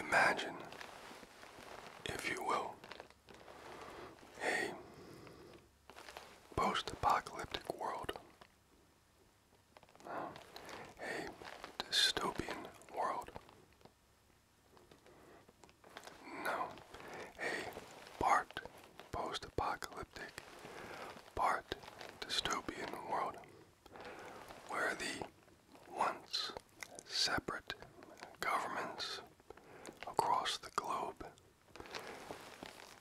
Imagine, if you will, a post apocalyptic world, a dystopian world no, a part post apocalyptic, part dystopian world where the once separate governments across the globe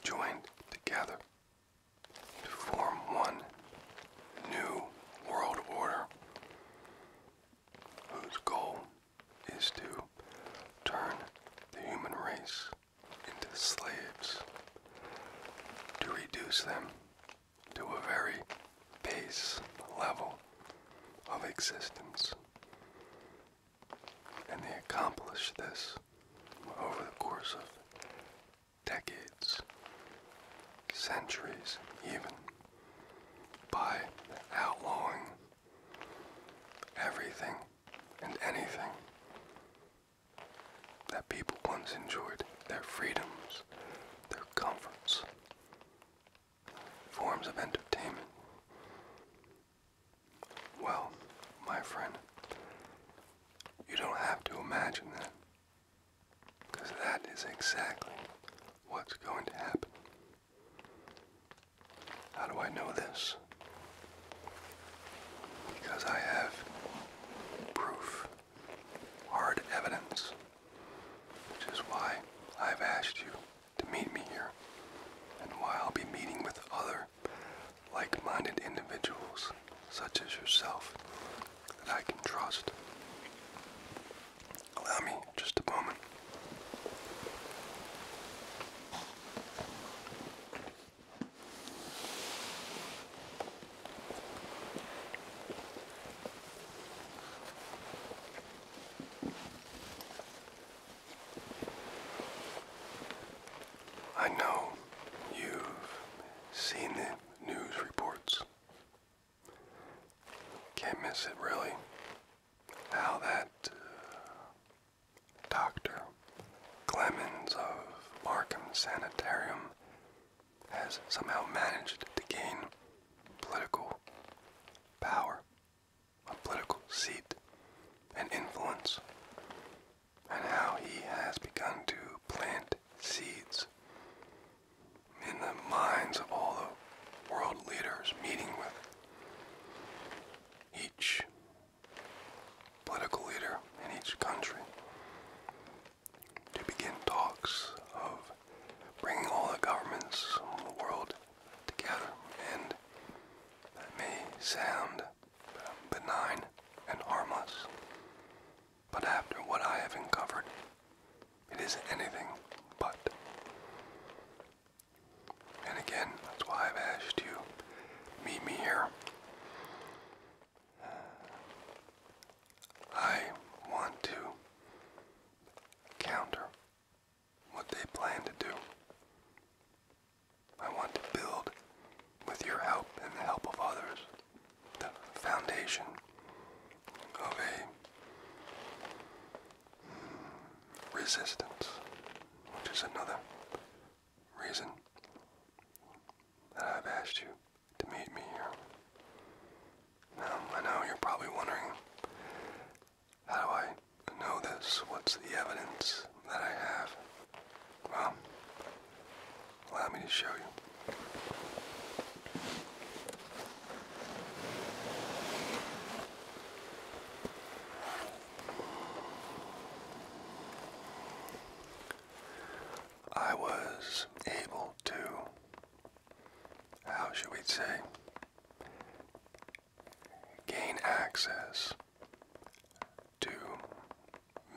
joined together to form one new world order whose goal is to turn the human race into slaves, to reduce them to a very base level of existence. And they accomplish this over the course of decades, centuries even by outlawing everything and anything that people once enjoyed their freedoms, their comforts, forms of entertainment. Well, my friend, you don't have to imagine that. Because that is exactly what's going to happen. How do I know this? Because I have proof, hard evidence, which is why I've asked you to meet me here and why I'll be meeting with other like-minded individuals such as yourself that I can trust. Allow me just a moment. I know you've seen the news reports can't miss it, really. How that uh, Dr. Clemens of Markham Sanitarium has somehow managed to gain political power, a political seat, and influence, and how he has begun to plant seeds in the minds of all the world leaders meeting with each political leader in each country to begin talks of bringing all the governments of the world together. And that may sound benign and harmless, but after what I have uncovered, it is anything but. And again, that's why I've asked you, meet me here. Uh, I want to counter what they plan to do. I want to build, with your help and the help of others, the foundation of a resistance, which is another reason that I've asked you to meet me here. Now, I know you're probably wondering, how do I know this? What's the evidence that I have? Well, allow me to show you. I was able to, how should we say, gain access to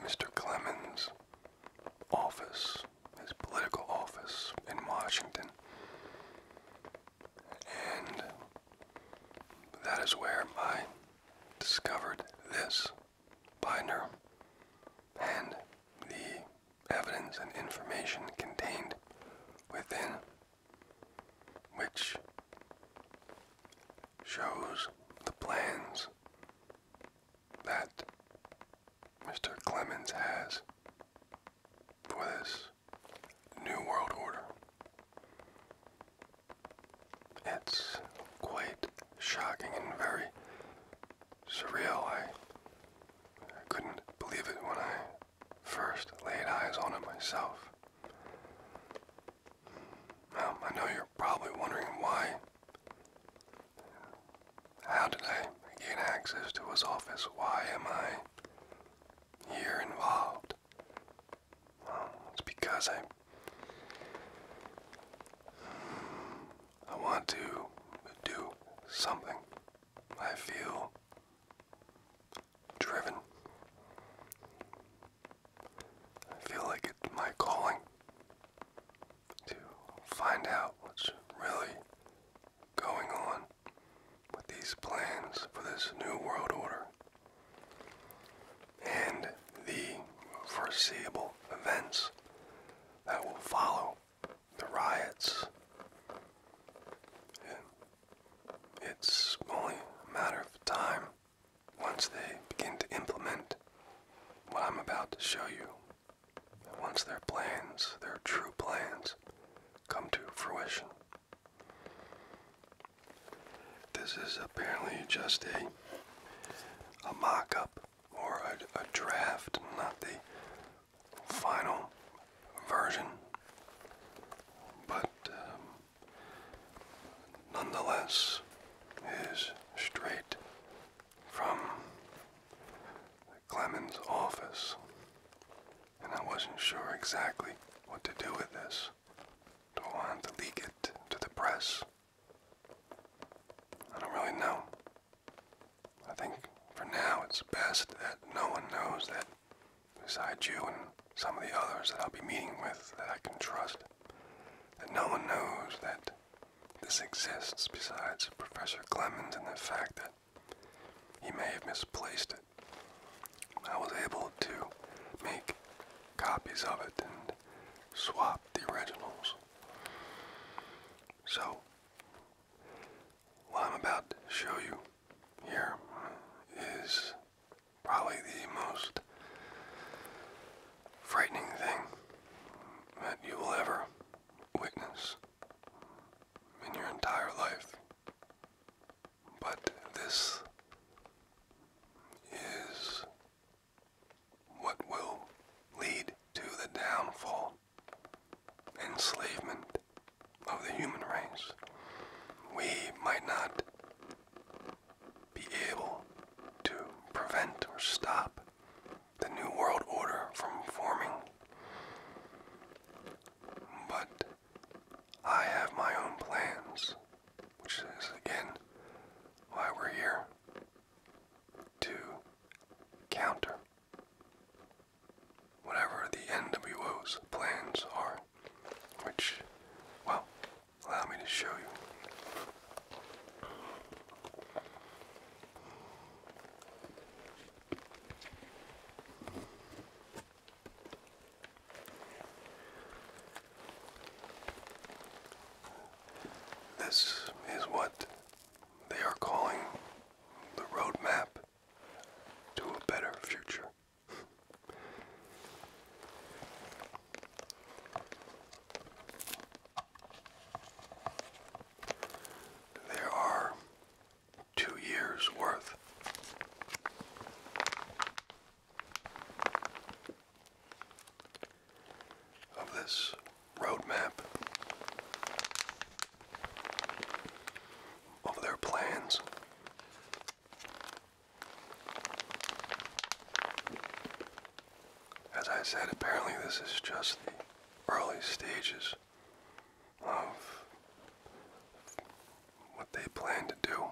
Mr. Clemens' office his political office in Washington. And that is where I discovered this binder and the evidence and information contained within, which shows the plans that Mr. Clemens has for this new world order. It's quite shocking and very surreal. I, I couldn't believe it when I first laid eyes on it myself. Now, um, I know you're probably wondering why how did I gain access to his office? Why am I here involved? Well, it's because I I want to do something. I feel driven. I feel like it's my calling to find out what's really going on with these plans for this new world order and the foreseeable events that will follow the riots. It's only a matter of time once they begin to implement what I'm about to show you once their plans, their true plans, come to fruition. This is apparently just a, a mock up or a, draft, not the final version, but um, nonetheless is straight from Clemens' office, and I wasn't sure exactly what to do with this. Do not want to leak it to the press? I don't really know. I think for now it's best that no one knows that besides you and some of the others that I'll be meeting with that I can trust, that no one knows that this exists besides Professor Clemens and the fact that he may have misplaced it. I was able to make copies of it and swap the originals. So, what I'm about to show you here is probably the most frightening thing that you will ever witness in your entire life. But this is what will lead to the downfall, enslavement of the human race. We might not be able to prevent or stop the New World Order from forming. But I have my own plans, which is again why we're here to counter whatever the NWO's plans are, which, well, allow me to show you. This is what they are calling the roadmap to a better future. there are two years worth. Of this roadmap, of their plans, as I said, apparently this is just the early stages of what they plan to do,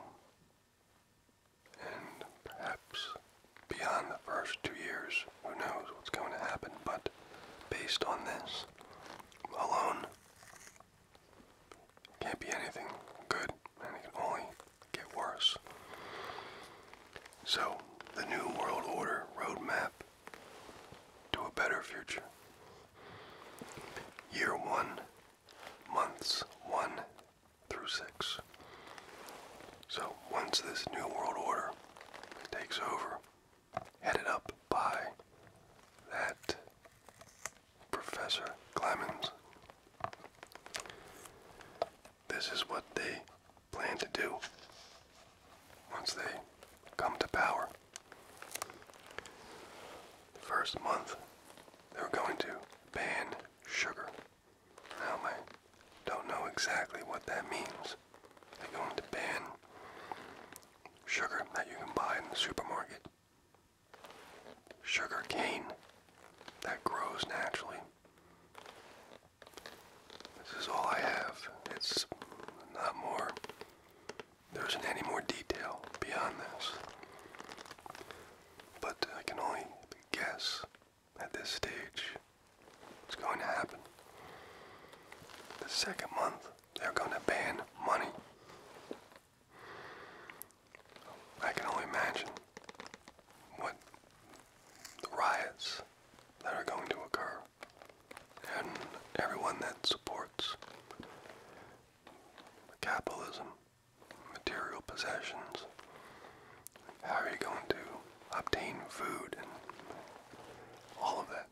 and perhaps beyond the first two years, who knows what's going to happen, but based on this alone, can't be anything good, and it can only get worse. So, the New World Order roadmap to a better future Year 1, months 1 through 6. So once this New World Order takes over, headed up by that Professor Clemens, this is what they plan to do once they come to power. First month, they are going to ban sugar. Now, I don't know exactly what that means. They're going to ban sugar that you can buy in the supermarket. Sugar cane that grows naturally. This is all I have. It's not more there isn't any more detail beyond this. But I can only guess at this stage what's going to happen. The second month, they're going to ban money. I can only imagine what the riots that are going to occur and everyone that supports capitalism, material possessions. How are you going to obtain food and all of that?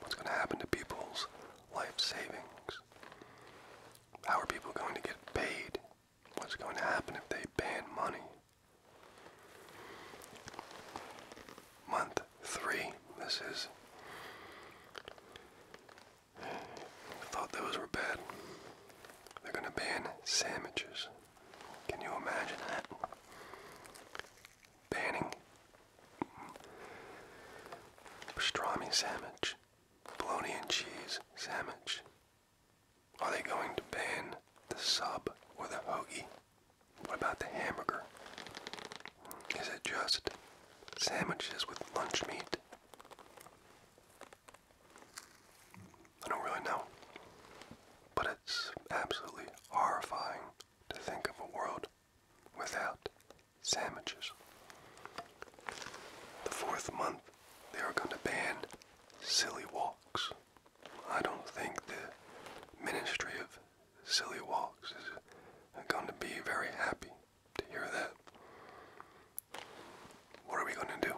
What's going to happen to people's life savings? How are people going to get paid? What's going to happen if they ban money? Month three. This is. I thought those were bad. They're gonna ban sandwiches. Can you imagine that? Banning pastrami sandwich, bologna and cheese sandwich. Are they going to ban the sub or the hoagie? What about the hamburger? Is it just sandwiches with lunch meat? I don't really know. But it's absolutely horrifying to think of a world without sandwiches. The fourth month, they are going to ban silly walks. I don't think the Ministry of silly walks is going to be very happy to hear that. What are we going to do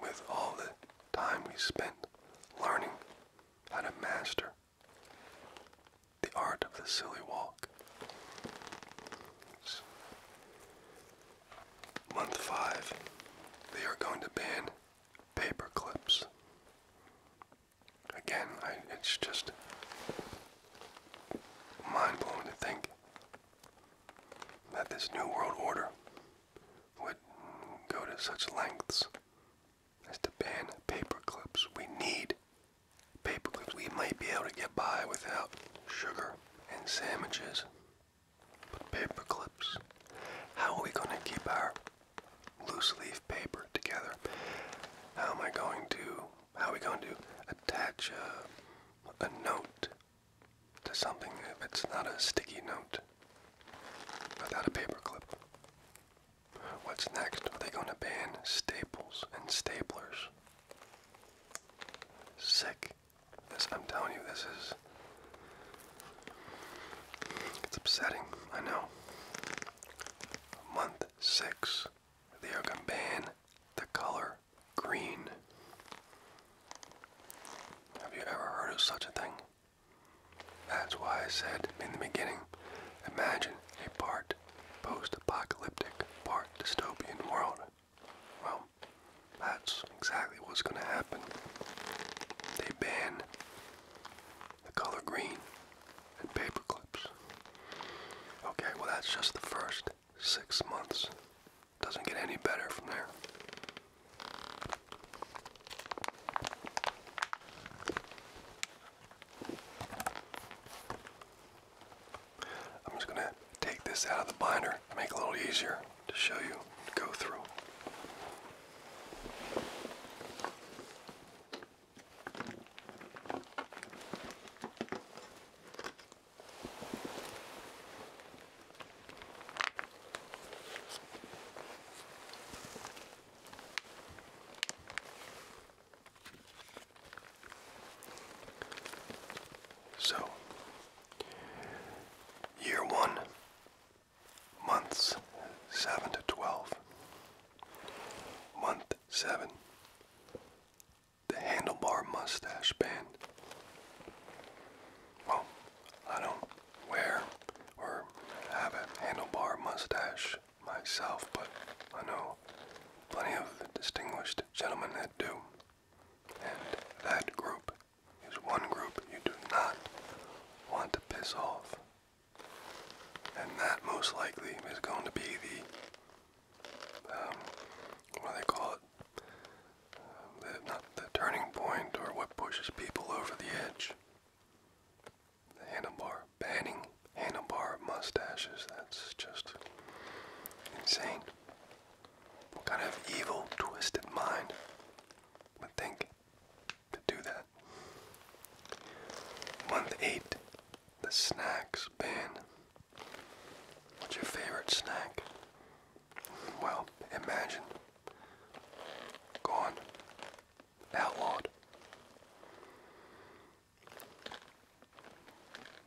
with all the time we spent learning how to master the art of the silly walk? month five, they are going to ban paper clips. Again, it's just mind-blowing to think that this new world order would go to such lengths as to ban paperclips. We need paperclips. We might be able to get by without sugar and sandwiches, but paperclips. How are we going to keep our loose leaf paper together. How am I going to, how are we going to attach a, a note to something if it's not a sticky note without a paper clip? What's next? Are they going to ban staples and staplers? Sick. This, I'm telling you, this is. It's upsetting, I know. month six. They are going to ban the color green. Have you ever heard of such a thing? That's why I said in the beginning, imagine a part post-apocalyptic, part dystopian world. Well, that's exactly what's going to happen. They ban the color green, and paper clips. Okay, well, that's just the first six months. Doesn't get any better from there. I'm just going to take this out of the binder, to make it a little easier to show you go through. So, year one, months seven to twelve. Month 7 The Handlebar Mustache Band. Well, I don't wear or have a handlebar mustache myself, but I know plenty of distinguished gentlemen that do. And that group is one group you do not want to piss off. And that most likely is going to be the, um, what do they call it? Um, not the turning point or what pushes people over the edge. handlebar, banning handlebar mustaches, that's just insane. What kind of evil, twisted mind would think to do that? Month 8, the snacks ban. What's your favorite snack? Well, imagine. Gone. Outlawed.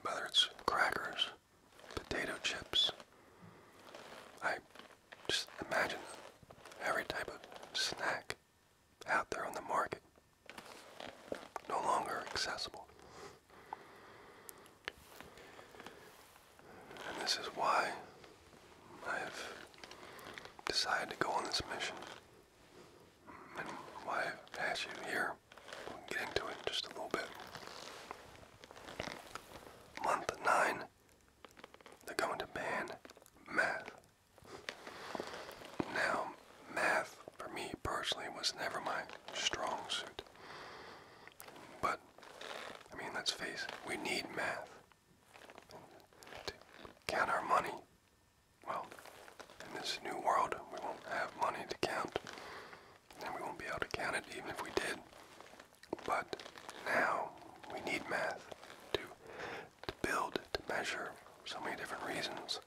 Whether it's crackers, potato chips, I just imagine every type of snack out there on the market, no longer accessible. And this is why I have decided to go on this mission and why I've asked you here. get into it just a little bit. Month 9, they're going to ban math now, math for me personally was never my strong suit. But, I mean, let's face it, we need math to count our money. Well, in this new world, we won't have money to count, and we won't be able to count it even if we did. But now, we need math to to build, to measure, so many different reasons.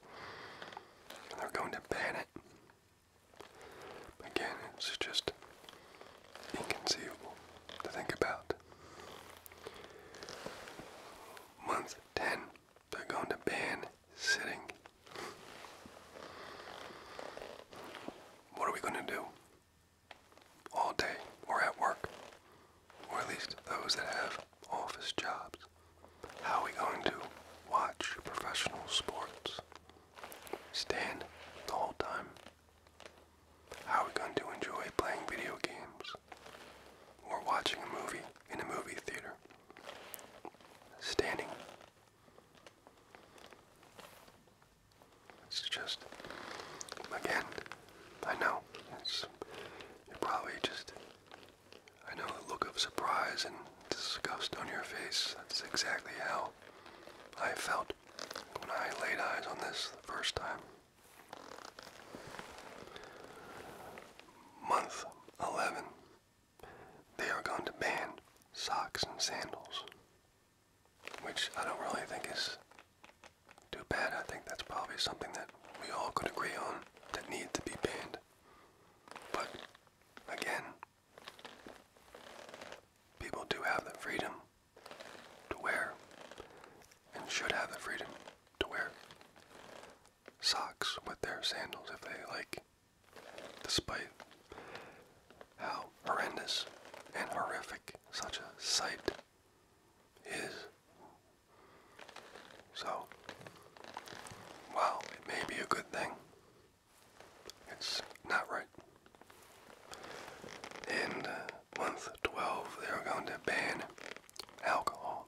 they're going to ban it. Again, it's just inconceivable to think about. Month 10, they're going to ban sitting. What are we going to do? All day or at work? or at least those that have office jobs. How are we going to watch professional sports? Stand the whole time? How are we going to enjoy playing video games or watching a movie in a movie theater? Standing. It's just, again, I know, it's, you're probably just I know the look of surprise and disgust on your face. That's exactly how I felt when I laid eyes on this the first time. Month 11. They are going to ban socks and sandals. Which I don't really think is too bad. I think that's probably something that we all could agree on that need to be banned. But again, people do have the freedom to wear and should have the freedom to wear socks with their sandals if they like, despite how horrendous and horrific such a sight is so, well, it may be a good thing, it's not right. In uh, month 12, they are going to ban alcohol.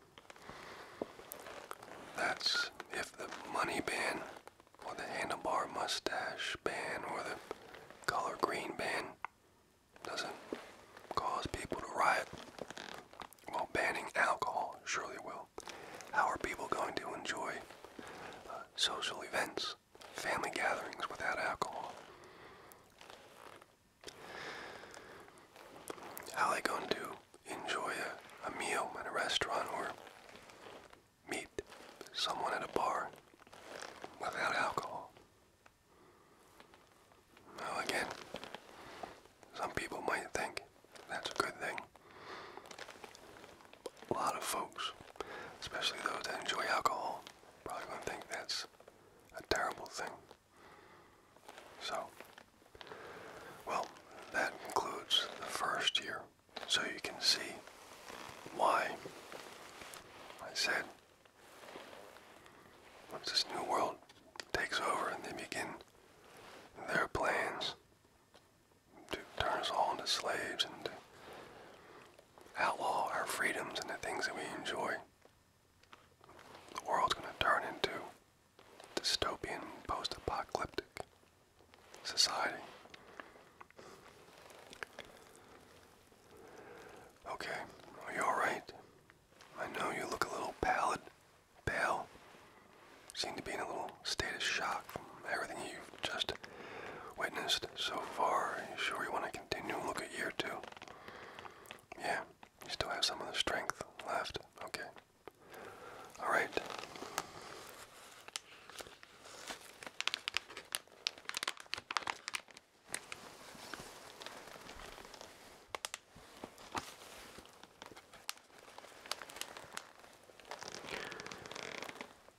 That's if the money ban, or the handlebar mustache ban, or the color green ban doesn't cause people to riot well, banning alcohol surely will. How are people going to enjoy uh, social events, family gatherings without alcohol? How are they going to enjoy a, a meal at a restaurant or meet someone at a bar without alcohol? Now again, some people might think that's a good thing. A lot of folks, especially those that enjoy alcohol, probably would to think that's a terrible thing. So, well, that concludes the first year. So you can see why I said once this new world takes over and they begin their plans to turn us all into slaves and outlaw our freedoms and the things that we enjoy. The world's going to turn into dystopian, post-apocalyptic society. Okay, are you alright? I know you look a little pallid. Bale seemed to be in a little state of shock from everything you've just witnessed so far. You sure you want to continue and look at year two? Yeah, you still have some of the strength left. Okay. All right.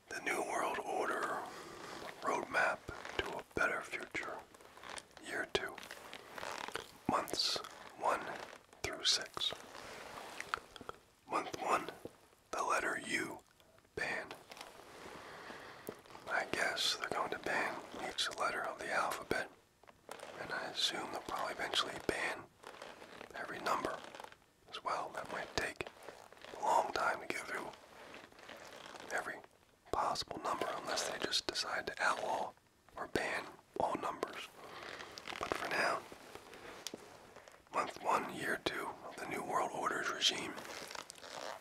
The New World Order Roadmap to a Better Future, Year 2, Months 1 through 6. Month 1, the letter U, ban. I guess they're going to ban each letter of the alphabet and I assume they'll probably eventually ban every number as well. That might take a long time to get through every possible number unless they just decide to outlaw or ban all numbers. But for now, month one, year two of the New World Order's regime,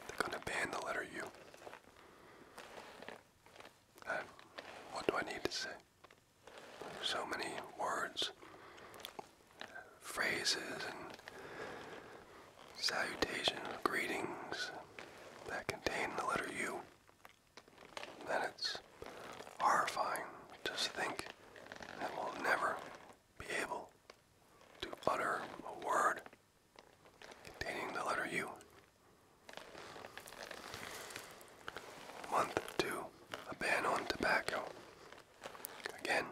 they're going to ban the letter U. Uh, what do I need to say? so many words, phrases, and salutations, greetings that contain the letter U, then it's horrifying to think that we'll never be able to utter a word containing the letter U. Month 2 A ban on tobacco. Again,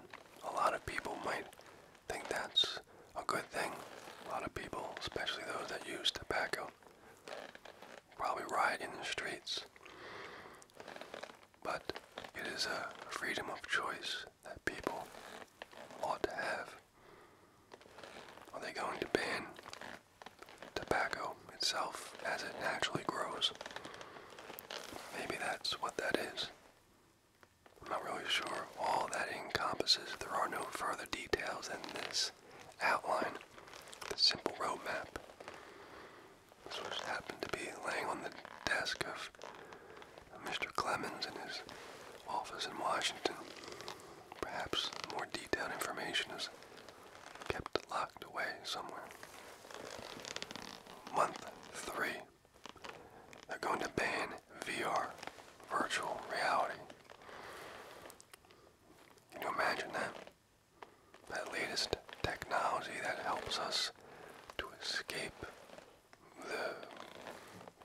a lot of people might think that's a good thing. A lot of people, especially those that use tobacco, probably riot in the streets. But it is a freedom of choice that people ought to have. Are they going to ban tobacco itself as it naturally grows. Maybe that's what that is. I'm not really sure all that encompasses. There are no further details in this outline, simple roadmap. This just happened to be laying on the desk of Mr. Clemens in his office in Washington. Perhaps more detailed information is kept locked away somewhere. Month three, they're going to ban VR, virtual reality. Can you imagine that? That latest technology that helps us to escape the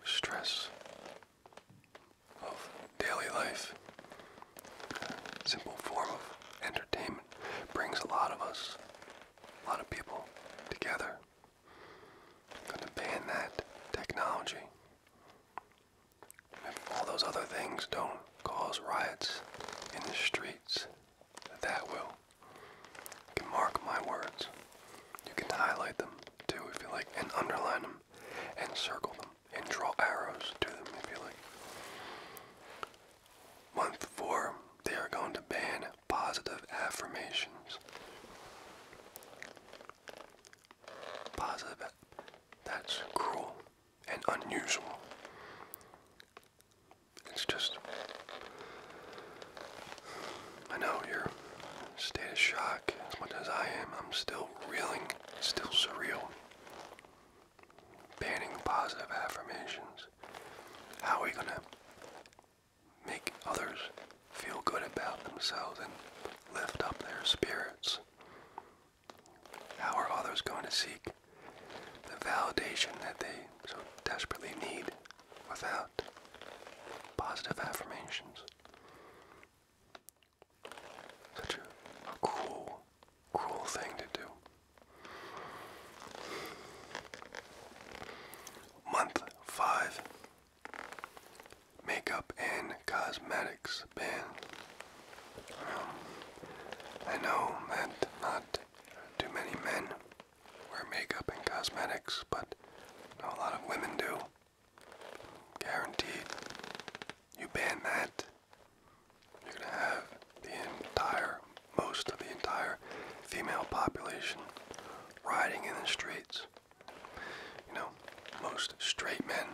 stress of daily life. simple form of entertainment brings a lot of us, a lot of people together. going to ban that technology. If all those other things don't cause riots in the streets, that will. can mark my words. You can highlight them too if you like, and underline them, and circle them and draw arrows to them if you like. Month four, they are going to ban positive affirmations. Positive, that's cruel and unusual. It's just, I know your state of shock as much as I am. I'm still reeling, still surreal banning positive affirmations. How are we going to make others feel good about themselves and lift up their spirits? How are others going to seek the validation that they so desperately need without positive affirmations? Such a, a cruel, thing to do. Month 5 Makeup and Cosmetics Ban. I know that not too many men wear makeup and cosmetics, but a lot of women do. Guaranteed. You ban that, you're going to have the entire, most of the entire female population riding in the streets. You know, most straight men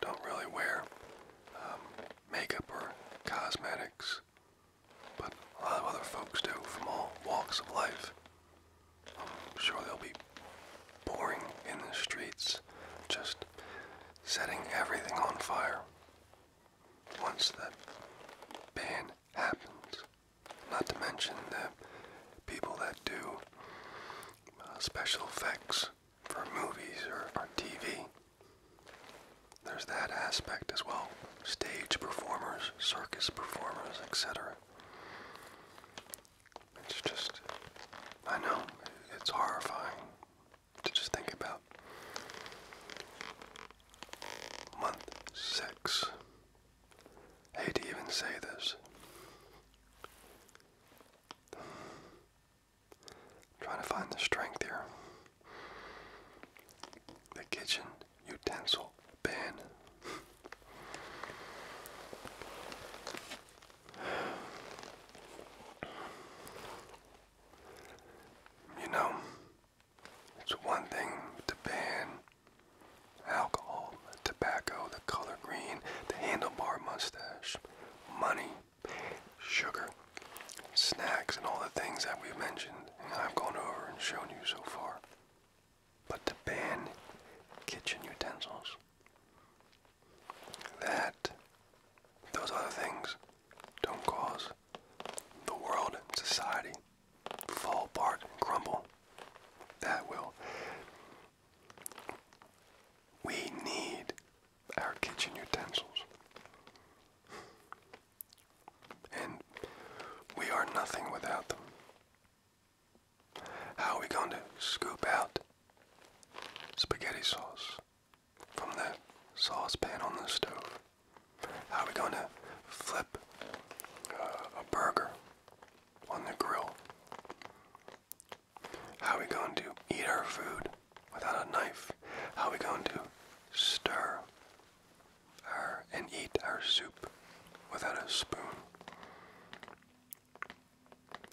don't really wear um, makeup or cosmetics, but a lot of other folks do from all walks of life. I'm sure they'll be boring in the streets, just setting everything on fire. Once that ban happens, not to mention the people that do uh, special effects for movies or on TV. There's that aspect as well. Stage performers, circus performers, etc. It's just, I know, it's horrifying to just think about. Month six. I do to even say this. trying to find the strength here. The kitchen utensil ban. You know, it's one thing to ban alcohol, tobacco, the color green, the handlebar mustache, money, sugar, snacks, and all the things that we've mentioned and I've gone over and shown you so far. But to ban kitchen utensils, that those other things don't cause the world society fall apart and crumble. That will. We need our kitchen utensils. And we are nothing without them. How are we going to scoop out spaghetti sauce from the saucepan on the stove. How are we going to flip uh, a burger on the grill? How are we going to eat our food without a knife? How are we going to stir our, and eat our soup without a spoon?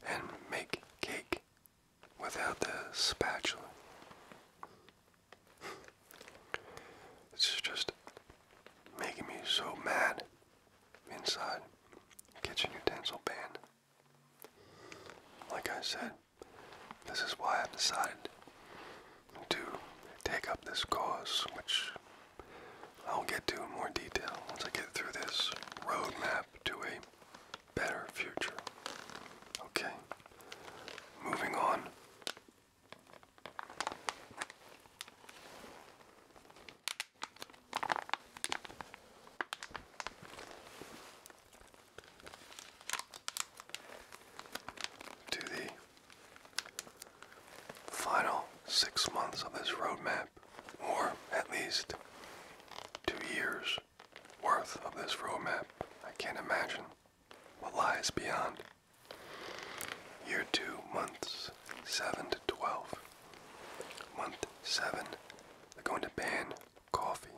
And make cake without the spatula. this is just making me so mad inside. Kitchen utensil ban. Like I said, this is why i decided to take up this cause, which I'll get to in more detail once I get through this roadmap to a better future. Okay, moving on. To the final six months of this roadmap, or at least two years worth of this roadmap. I can't imagine what lies beyond. Year 2, months 7 to 12. Month 7, they're going to ban coffee.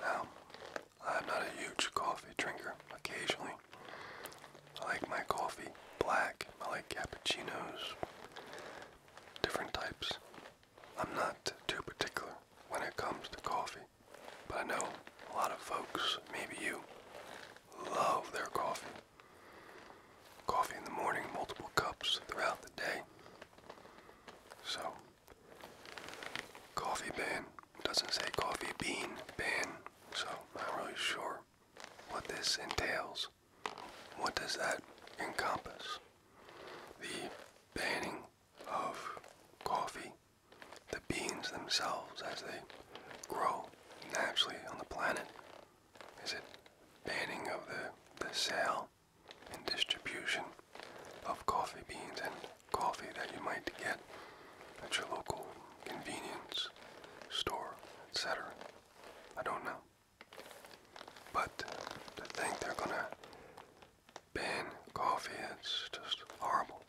Now, I'm not a huge coffee drinker occasionally. I like my coffee black, I like cappuccinos, different types. I'm not too particular when it comes to coffee, but I know a lot of folks, maybe you, love their coffee. Coffee in the morning, multiple cups throughout the day. So, coffee ban doesn't say coffee bean ban, so I'm not really sure what this entails. What does that encompass? The banning of coffee, the beans themselves as they grow naturally on the planet? Is it banning of the, the sale and distribution of coffee beans and coffee that you might get at your local convenience store, etc. I don't know. But to think they're gonna ban coffee. It's just horrible.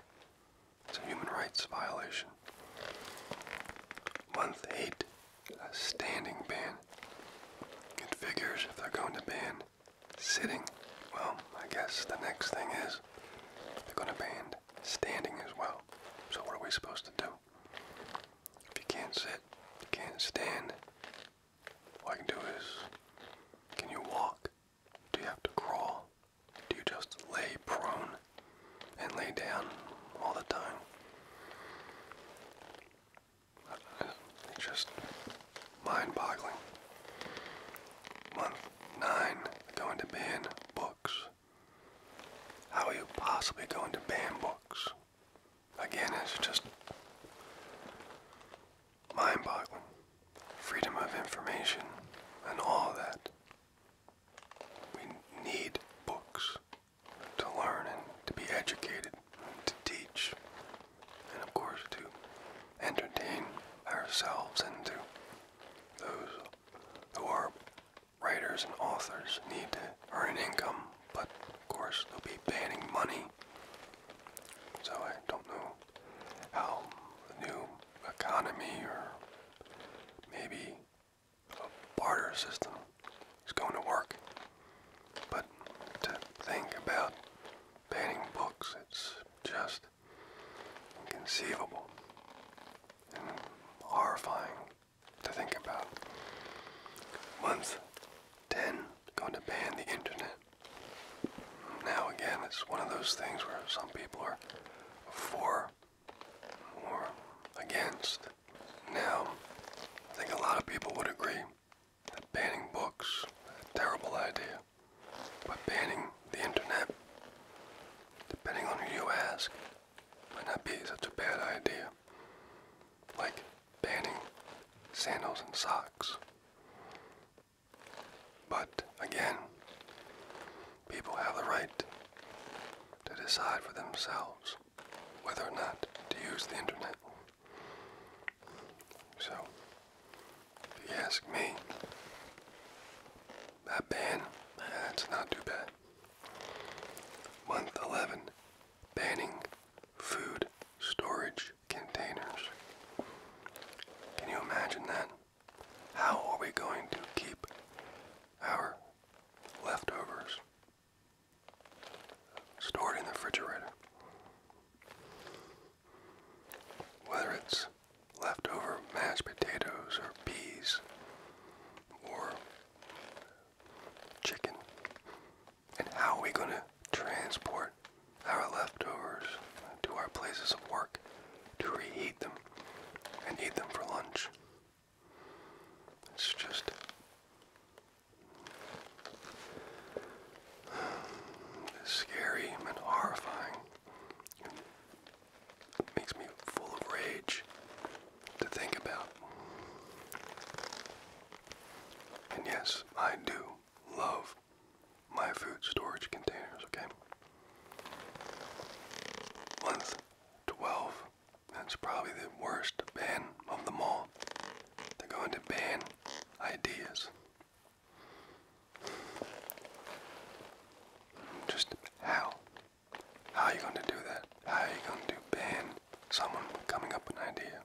It's a human rights violation. Month 8, a standing ban. It figures if they're going to ban sitting, well, I guess the next thing is they're going to ban standing as well. So what are we supposed to do? If you can't sit, you can't stand, what I can do is, can you walk? Do you have to crawl? Do you just lay prone and lay down all the time? just mind-boggling. Month nine, going to ban books. How are you possibly going to ban books? Again, it's just mind boggling. Freedom of information and all that. We need books to learn and to be educated, to teach, and of course to entertain ourselves and to those who are writers and authors need to earn an income, but of course they'll be banning money so I don't know how the new economy or maybe a barter system is going to work. But to think about banning books, it's just inconceivable and horrifying to think about. Once 10 going to ban the internet. Now again, it's one of those things where some people are for or against. Now, I think a lot of people would agree that banning books a terrible idea, but banning the internet, depending on who you ask, might not be such a bad idea. Like banning sandals and socks. But again, people have the right to decide for themselves whether or not to use the internet. So, if you ask me, that ban, that's not too bad. Month 11, banning food storage containers. Can you imagine that? How are we going to keep our leftovers stored in the refrigerator? Whether it's leftover mashed potatoes or peas or chicken and how are we going to transport our leftovers to our places of work to reheat them and eat them for lunch? It's just scary and horrifying. It makes me full of rage to think about. And yes, I do love my food storage containers, okay? Month 12. That's probably the worst ban of them all. They're going to ban ideas. Just how? How are you going to do that? How are you going to ban someone coming up an idea?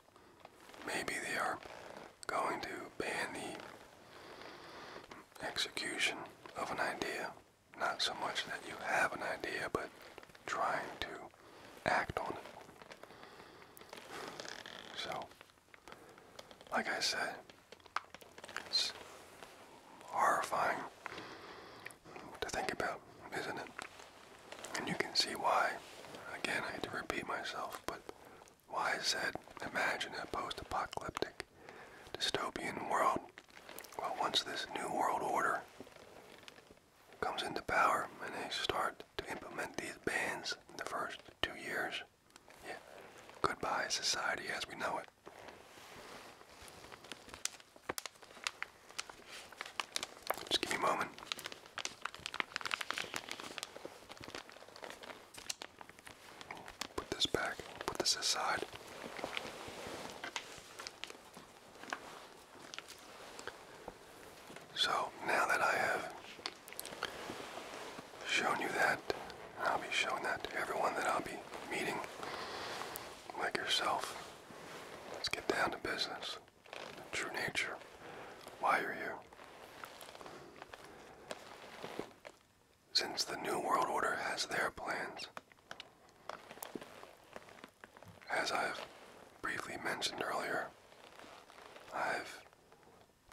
maybe they are going to ban the execution of an idea. Not so much that you have an idea, but trying to act on it. So, like I said, it's horrifying to think about, isn't it? And you can see why. Again, I had to repeat myself, but why is that? Imagine a post apocalyptic dystopian world. Well, once this New World Order comes into power and they start to implement these bans in the first two years, yeah, goodbye society as we know it. Just give me a moment. Put this back, put this aside. So now that I have shown you that, I'll be showing that to everyone that I'll be meeting, like yourself. Let's get down to business. true nature. Why are here. Since the New World Order has their plans, as I've briefly mentioned earlier, I've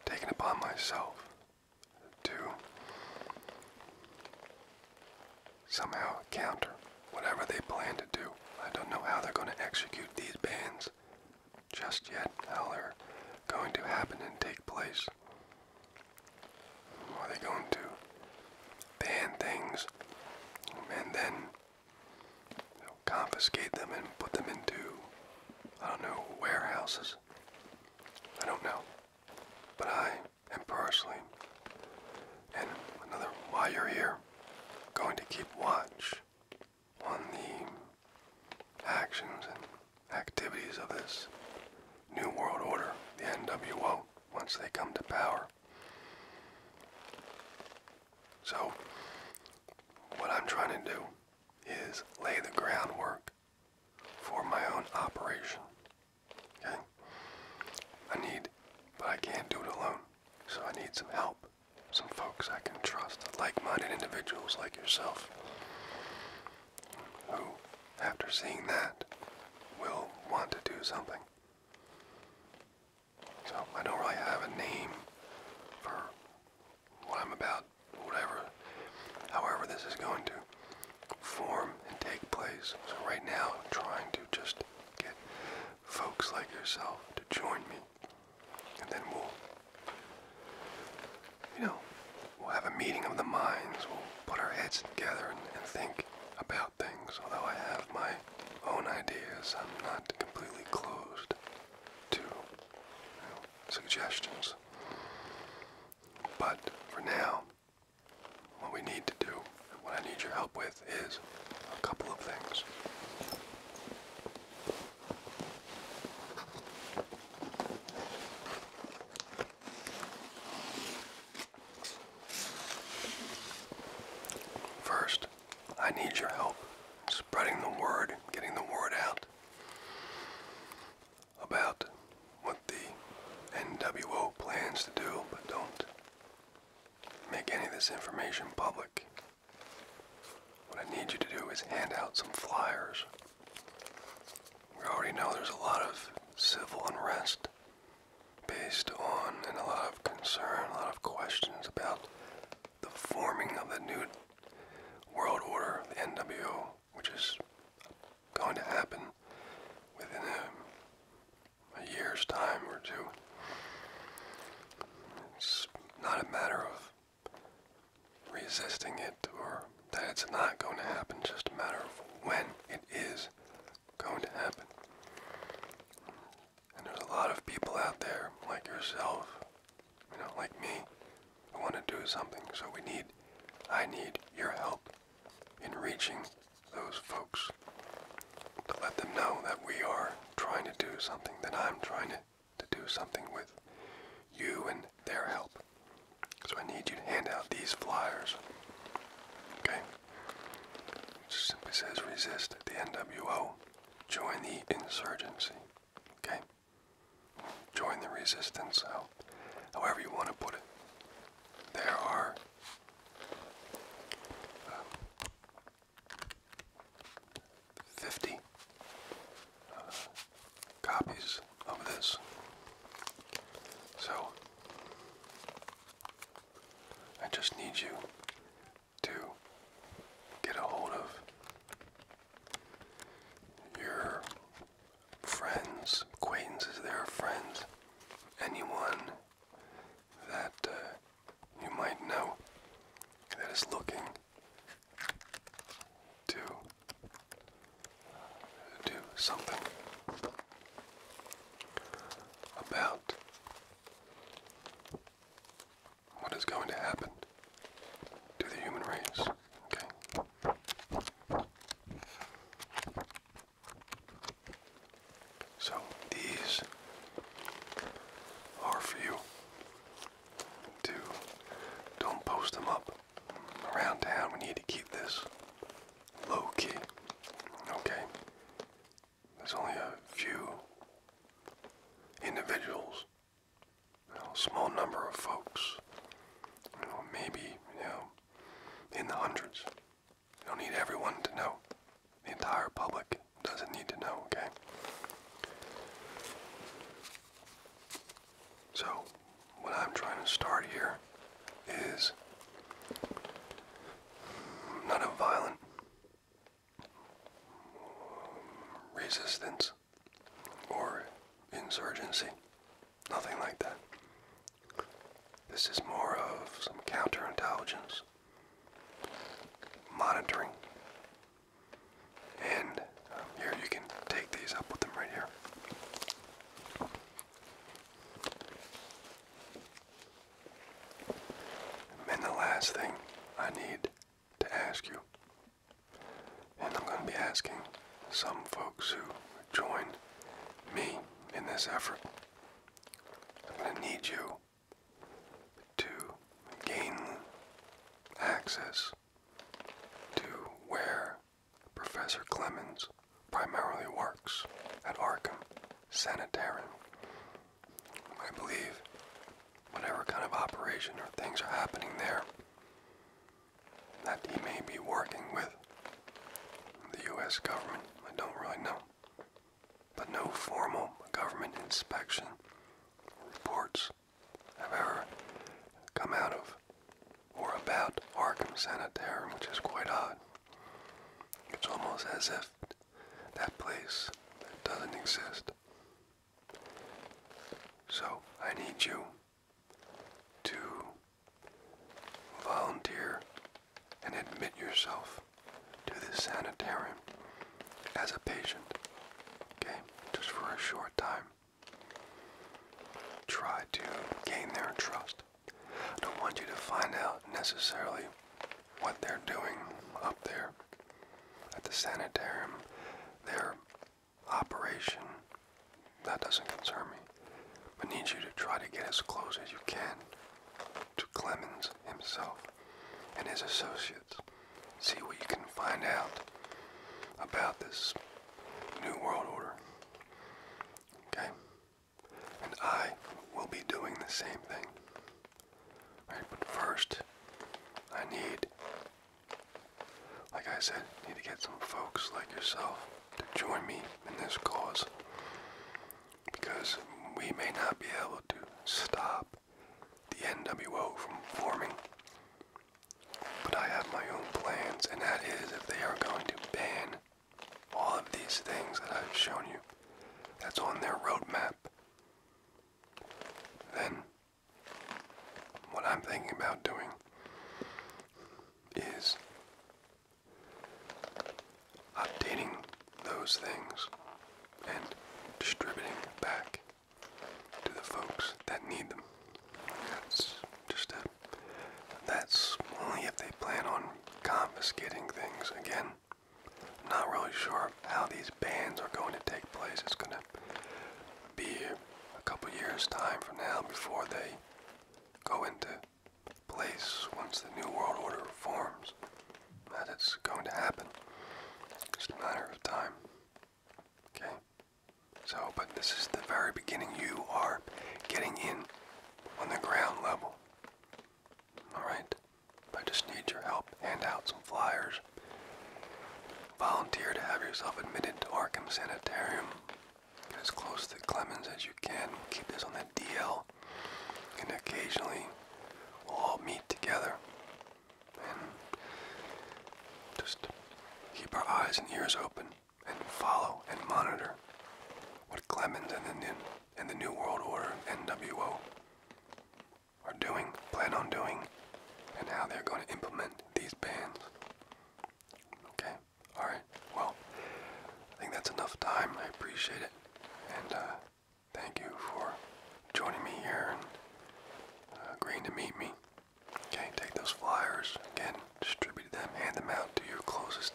taken upon myself to somehow counter whatever they plan to do. I don't know how they're going to execute these bans just yet, how they're going to happen and take place. Are they going to ban things and then you know, confiscate them and put them into, I don't know, warehouses? I don't know. But I am personally, and another why you're here, going to keep watch on the actions and activities of this New World Order, the NWO, once they come to power. So, what I'm trying to do is lay the groundwork for my own operation. Okay? I need, but I can't do it alone. So I need some help some folks I can trust, like-minded individuals like yourself, who, after seeing that, will want to do something. So I don't really have a name for what I'm about, whatever, however this is going to form and take place. So right now trying to just get folks like yourself to join me and then we'll, you know, we'll have a meeting of the minds. We'll put our heads together and, think about things. Although I have my own ideas, I'm not completely closed to suggestions. But for now, what we need to do, and what I need your help with, is a couple of things. First, I need your help spreading the word, getting the word out about what the NWO plans to do, but don't make any of this information public. What I need you to do is hand out some flyers. We already know there's a lot of civil unrest based on and a lot of concern, a lot of questions about the forming of the new world order, the NWO, which is going to happen within a, a year's time or two. It's not a matter of resisting it or that it's not going to happen, just a matter of when it is going to happen. And there's a lot of people out there, like yourself, you know, like me, who want to do something. So we need, I need your help in reaching those folks to let them know that we are trying to do something, that I'm trying to to do something with you and their help. So I need you to hand out these flyers. Okay? It simply says resist the NWO. Join the insurgency. Okay? Join the resistance, however you want to put it. There are. Uh, 50 uh, copies of this. So I just need you to get a hold of your friends, acquaintances, their friends, anyone that uh, you might know that is looking to do something about what is going to happen to the human race. Okay. So these are for you to don't post them up around town. We need to keep this low key. Okay. There's only a few individuals, a small number of folks, maybe, you know, in the hundreds. don't need everyone to know. The entire public doesn't need to know, okay? So, what I'm trying to start here is not a violent resistance or insurgency, nothing like that. This is more of some counterintelligence, monitoring, and um, here you can take these up with them right here. And the last thing I need to ask you, and I'm going to be asking some folks who joined me in this effort, I'm going to need you to gain access to where Professor Clemens primarily works at Arkham Sanitarium. I believe whatever kind of operation or things are happening there, that he may be working with the U.S. government. I don't really know. But no formal government inspection reports I've ever come out of or about Arkham Sanitarium, which is quite odd. It's almost as if that place doesn't exist. So I need you to volunteer and admit yourself to this sanitarium as a patient, okay, just for a short time. Try to gain their trust. I don't want you to find out necessarily what they're doing up there at the sanitarium, their operation. That doesn't concern me. I need you to try to get as close as you can to Clemens himself and his associates see what you can find out about this New World Order. Okay? And I will be doing the same thing. but first, I need, like I said, need to get some folks like yourself to join me in this cause. Because we may not be able to stop the NWO from forming. But I have my own plans, and that is if they are going to ban all of these things that I've shown you, that's on their roadmap, then what I'm thinking about doing is updating those things and distributing back to the folks that need them. That's just a, that's only if they plan on confiscating things again. I'm not really sure how these bans are going to take place. It's going to be a couple years time from now before they go into place once the new world order forms. That it's going to happen. It's just a matter of time. Okay. So, but this is the very beginning. You are getting in on the ground level. Alright? I just need your help. Hand out some flyers. Volunteer to have yourself admitted to Arkham Sanitarium. Get as close to Clemens as you can. keep this on the DL. And occasionally, we'll all meet together and just keep our eyes and ears open and follow and monitor what Clemens and the, New World Order, NWO, are doing, plan on doing, and how they're going to implement these bans. Okay? Alright. Well, I think that's enough time. I appreciate it. And uh, thank you for joining me here and uh, agreeing to meet me. Okay, take those flyers, again, distribute them, hand them out to your closest,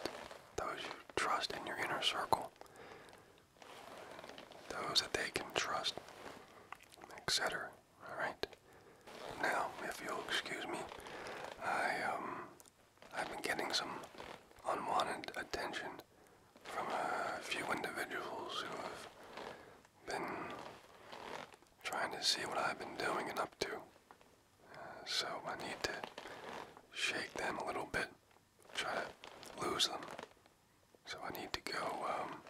those you trust in your inner circle, those that they can trust, etc. Alright? Now, if you'll excuse me, I, um, I've been getting some unwanted attention from a few individuals who have been trying to see what I've been doing and up to. Uh, so I need to shake them a little bit, try to lose them. So I need to go um,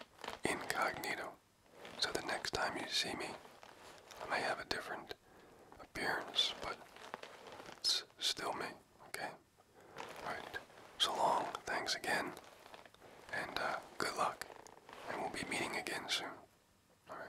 incognito. So the next time you see me, I may have a different appearance, but it's still me, okay? Alright, so long, thanks again, and uh, good luck. And we'll be meeting again soon. All right.